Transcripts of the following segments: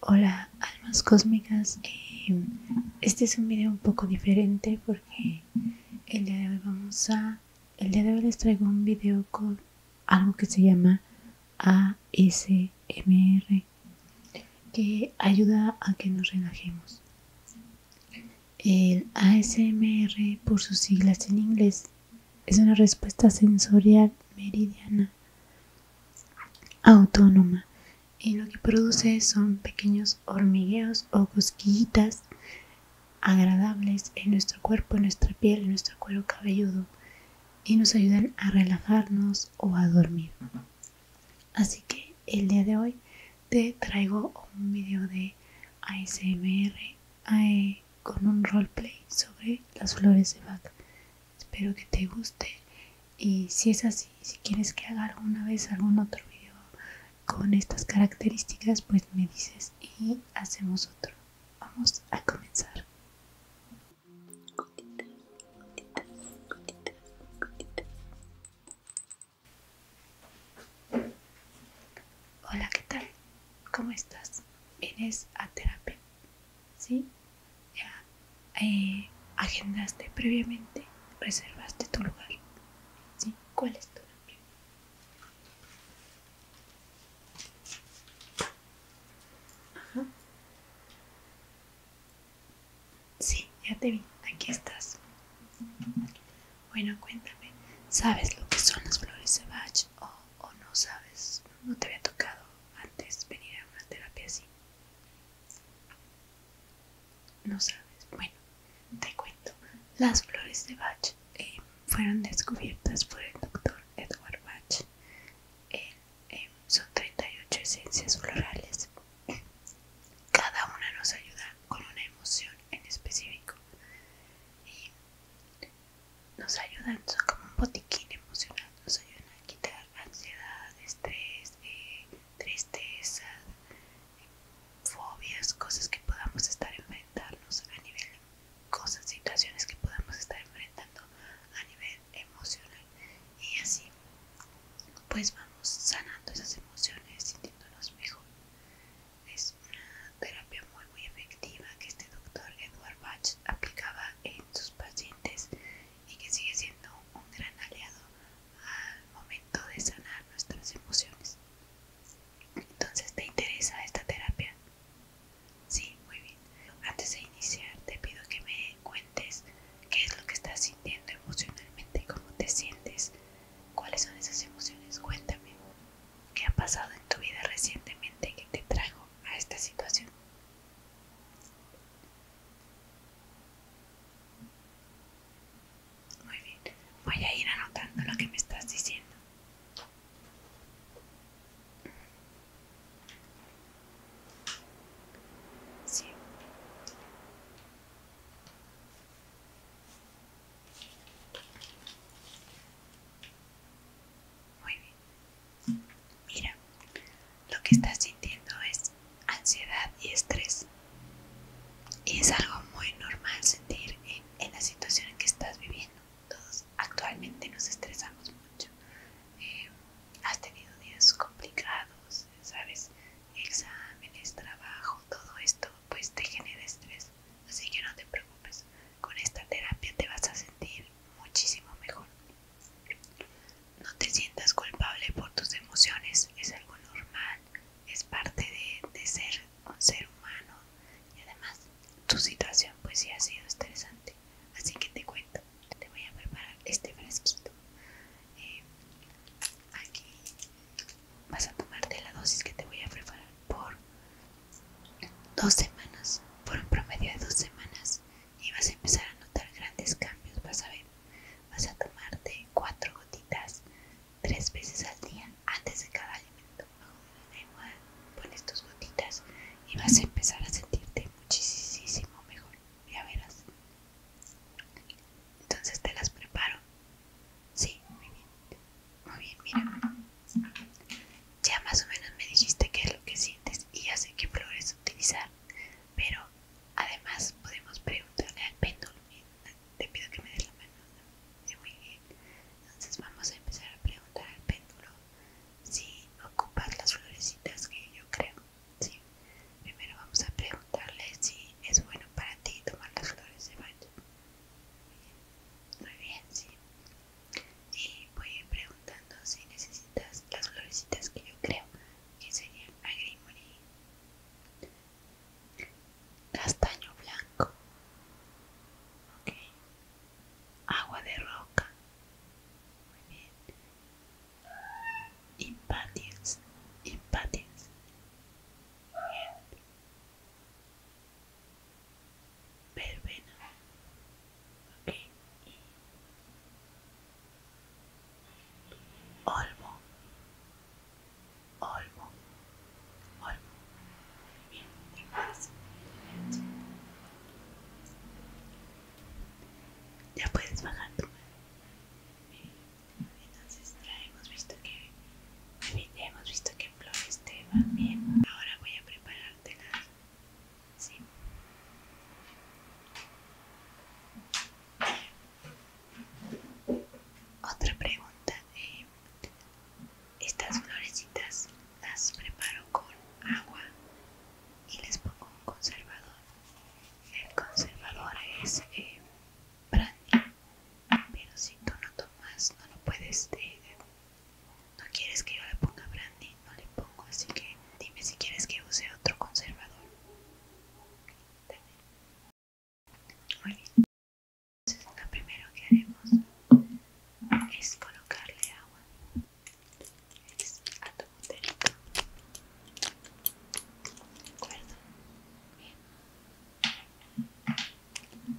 Hola almas cósmicas, em, este es un video un poco diferente porque el día de hoy vamos a, el día de hoy les traigo un video con algo que se llama ASMR que ayuda a que nos relajemos. El ASMR por sus siglas en inglés es una respuesta sensorial meridiana autónoma y lo que produce son pequeños hormigueos o cosquillitas agradables en nuestro cuerpo, en nuestra piel, en nuestro cuero cabelludo y nos ayudan a relajarnos o a dormir. Así que el día de hoy te traigo un video de ASMR eh, con un roleplay sobre las flores de vaca espero que te guste y si es así si quieres que haga alguna vez algún otro video con estas características pues me dices y hacemos otro vamos a comenzar Hola, ¿qué tal? ¿Cómo estás? Eres a terapia? ¿sí? Ya eh, agendaste previamente, reservaste tu lugar, ¿sí? ¿Cuál es tu nombre? Sí, ya te vi, aquí estás. Bueno, cuéntame, ¿sabes lo que son las flores de Bach o no sabes? No te había tocado antes venir a una terapia así. No sabes. Bueno, te cuento. Las flores de Bach eh, fueron descubiertas por el doctor Edward Bach. Eh, son 38 esencias florales. Cada una nos ayuda con una emoción en específico nos ayudan, son como un botiquín emocional, nos ayudan a quitar ansiedad, estrés, tristezas eh, tristeza, fobias, cosas que podamos estar enfrentando a nivel, cosas, situaciones que podamos estar enfrentando a nivel emocional. Y así, pues vamos sanando esas emociones, sintiéndonos mejor. Es una terapia muy, muy efectiva que este doctor Edward Bach aplicaba en sus pacientes y que sigue siendo un gran aliado al momento de sanar nuestras emociones. Entonces, ¿te interesa esta terapia? Sí, muy bien. Antes de iniciar, te pido que me cuentes qué es lo que estás sintiendo emocionalmente, cómo te sientes, cuáles son esas emociones. Cuéntame, ¿qué ha pasado en tu vida recientemente que te trajo a esta situación. Muy bien, voy a ir anotando lo que me estás diciendo. Sí. Muy bien. Mira, lo que estás sintiendo es ansiedad y estrés. Y es algo muy normal sentir en, la situación en que estás viviendo. Todos actualmente nos estresamos mucho. Eh, has tenido días complicados, ¿sabes? Exámenes, trabajo, todo esto pues te genera estrés. Así que no te preocupes. Con esta terapia te vas a sentir muchísimo mejor. No te sientas culpable por tus emociones, es algo normal, es parte de, ser un ser humano y además tu situación pues sí ha sido estresante. Así que te cuento, te voy a preparar este fresquito. Eh, aquí vas a tomarte la dosis que te voy a preparar por Dos semanas, por un promedio de dos semanas, y vas a empezar a notar grandes cambios. Vas a ver, vas a tomarte cuatro gotitas tres veces al día antes de cada alimento. pones tus gotitas y vas a empezar a sentirte muchísimo mejor. Ya verás. Entonces te las preparo. Sí, muy bien. Muy bien, mira. Ya más o menos me dijiste qué es lo que sientes y ya sé qué flores utilizar, pero además podemos preguntarle al péndulo. Te pido que me des la mano. muy bien. Entonces vamos a empezar a preguntar al péndulo si ocupas las florecitas que yo creo. Sí. Primero vamos a preguntarle si es bueno para ti tomar las flores de baño. Muy bien, sí. Y voy a ir preguntando si necesitas las florecitas que yo creo que serían agrimoní, castaño blanco, ok agua de roca, muy bien, impatiens, muy bien verbena ok y olmo olmo olmo muy bien tengo ya puedes bajar tu mano entonces ya hemos visto que hemos visto que flores te van bien. Ahora voy a preparártelas. ¿Sí? Otra pregunta. Eh, estas florecitas las preparo con agua y les pongo un conservador. El conservador es eh, brandy. Pero si tú no tomas, no lo puedes. Este, no quieres que yo le ponga brandy, no le pongo. Así que dime si quieres que use otro conservador. Muy bien. Entonces, lo primero que haremos es colocarle agua a tu botelito. ¿De Bien.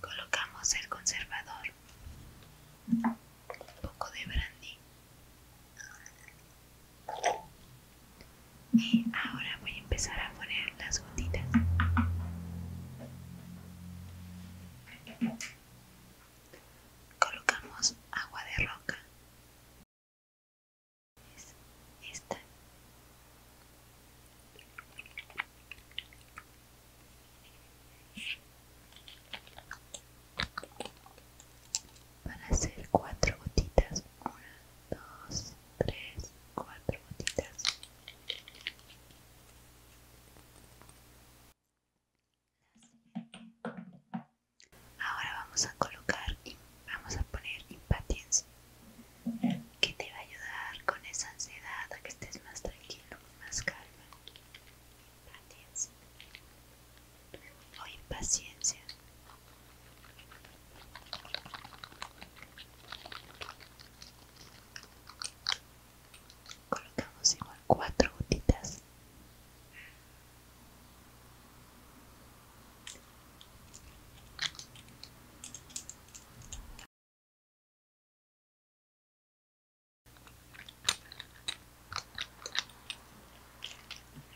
Colocamos el conservador, un poco de brandy y ahora voy a empezar a poner las gotitas. Colocamos agua de roca para hacer van a ser cuatro gotitas una dos tres cuatro gotitas Ahora vamos a colocar, vamos a poner impaciencia, que te va a ayudar con esa ansiedad a que estés más tranquilo, más calma. Impatiencia o impaciencia. Colocamos igual cuatro gotitas.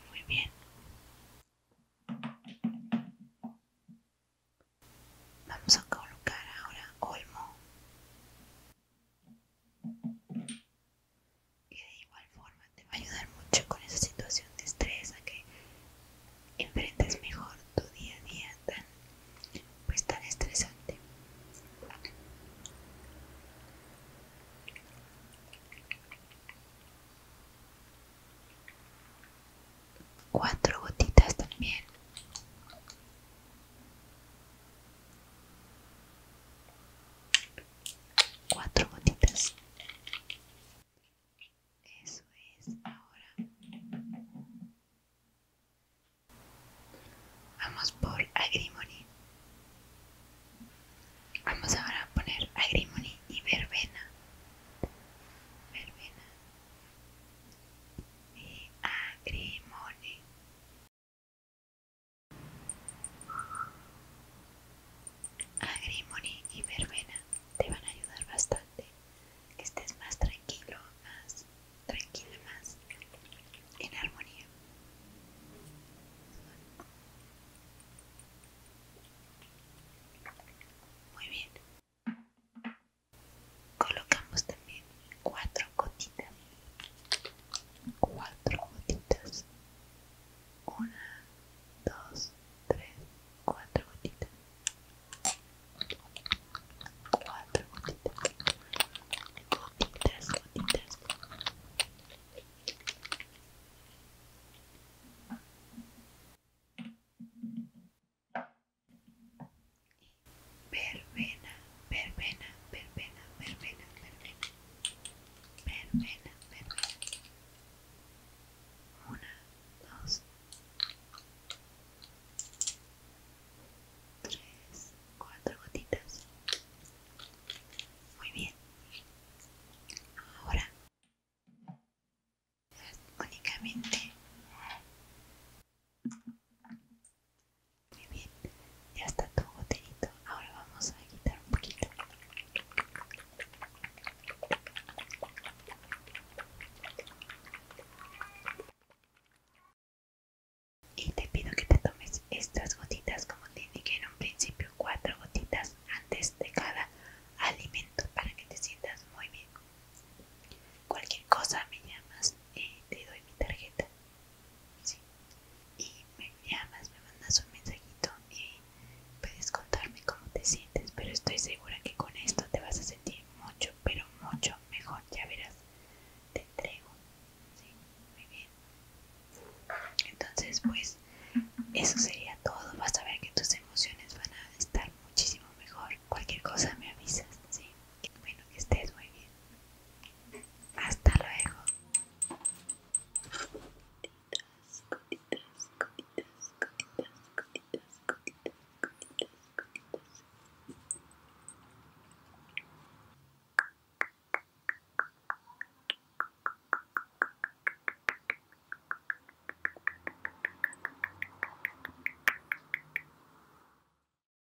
Muy bien. Vamos a colocar ahora olmo y de igual forma te va a ayudar mucho con esa situación de estrés a que enfrentes mejor tu día a día tan pues tan estresante cuatro gotitas también cuatro gotitas eso es ahora vamos por agrimony vamos ahora a poner agrimony y verbena verbena y agrimony Agrimony y verbena te van a ayudar bastante, que estés más tranquilo, más tranquila, más en armonía. Muy bien. Colocamos también cuatro gotitas cuatro gotitas una dos tres cuatro gotitas cuatro gotitas gotitas gotitas y verbena, verbena, verbena, verbena, verbena, verbena, verbena. Una, dos, tres, cuatro gotitas. Muy bien. Ahora únicamente muy bien, ya está tu goterito. Ahora vamos a quitar un poquito. Y te pido que te tomes estas gotitas como te indiqué en un principio, cuatro gotitas antes de cada alimento para que te sientas muy bien. Cualquier cosa me llamas y te doy mi tarjeta. Y me llamas, me mandas un mensajito y puedes contarme cómo te sientes, pero estoy segura que con esto te vas a sentir mucho, pero mucho mejor, ya verás. Te entrego. Entonces, pues eso sería todo. Vas a ver que tus emociones van a estar muchísimo mejor. Cualquier cosa me avisas, sí. Bueno, que estés muy bien. Hasta luego.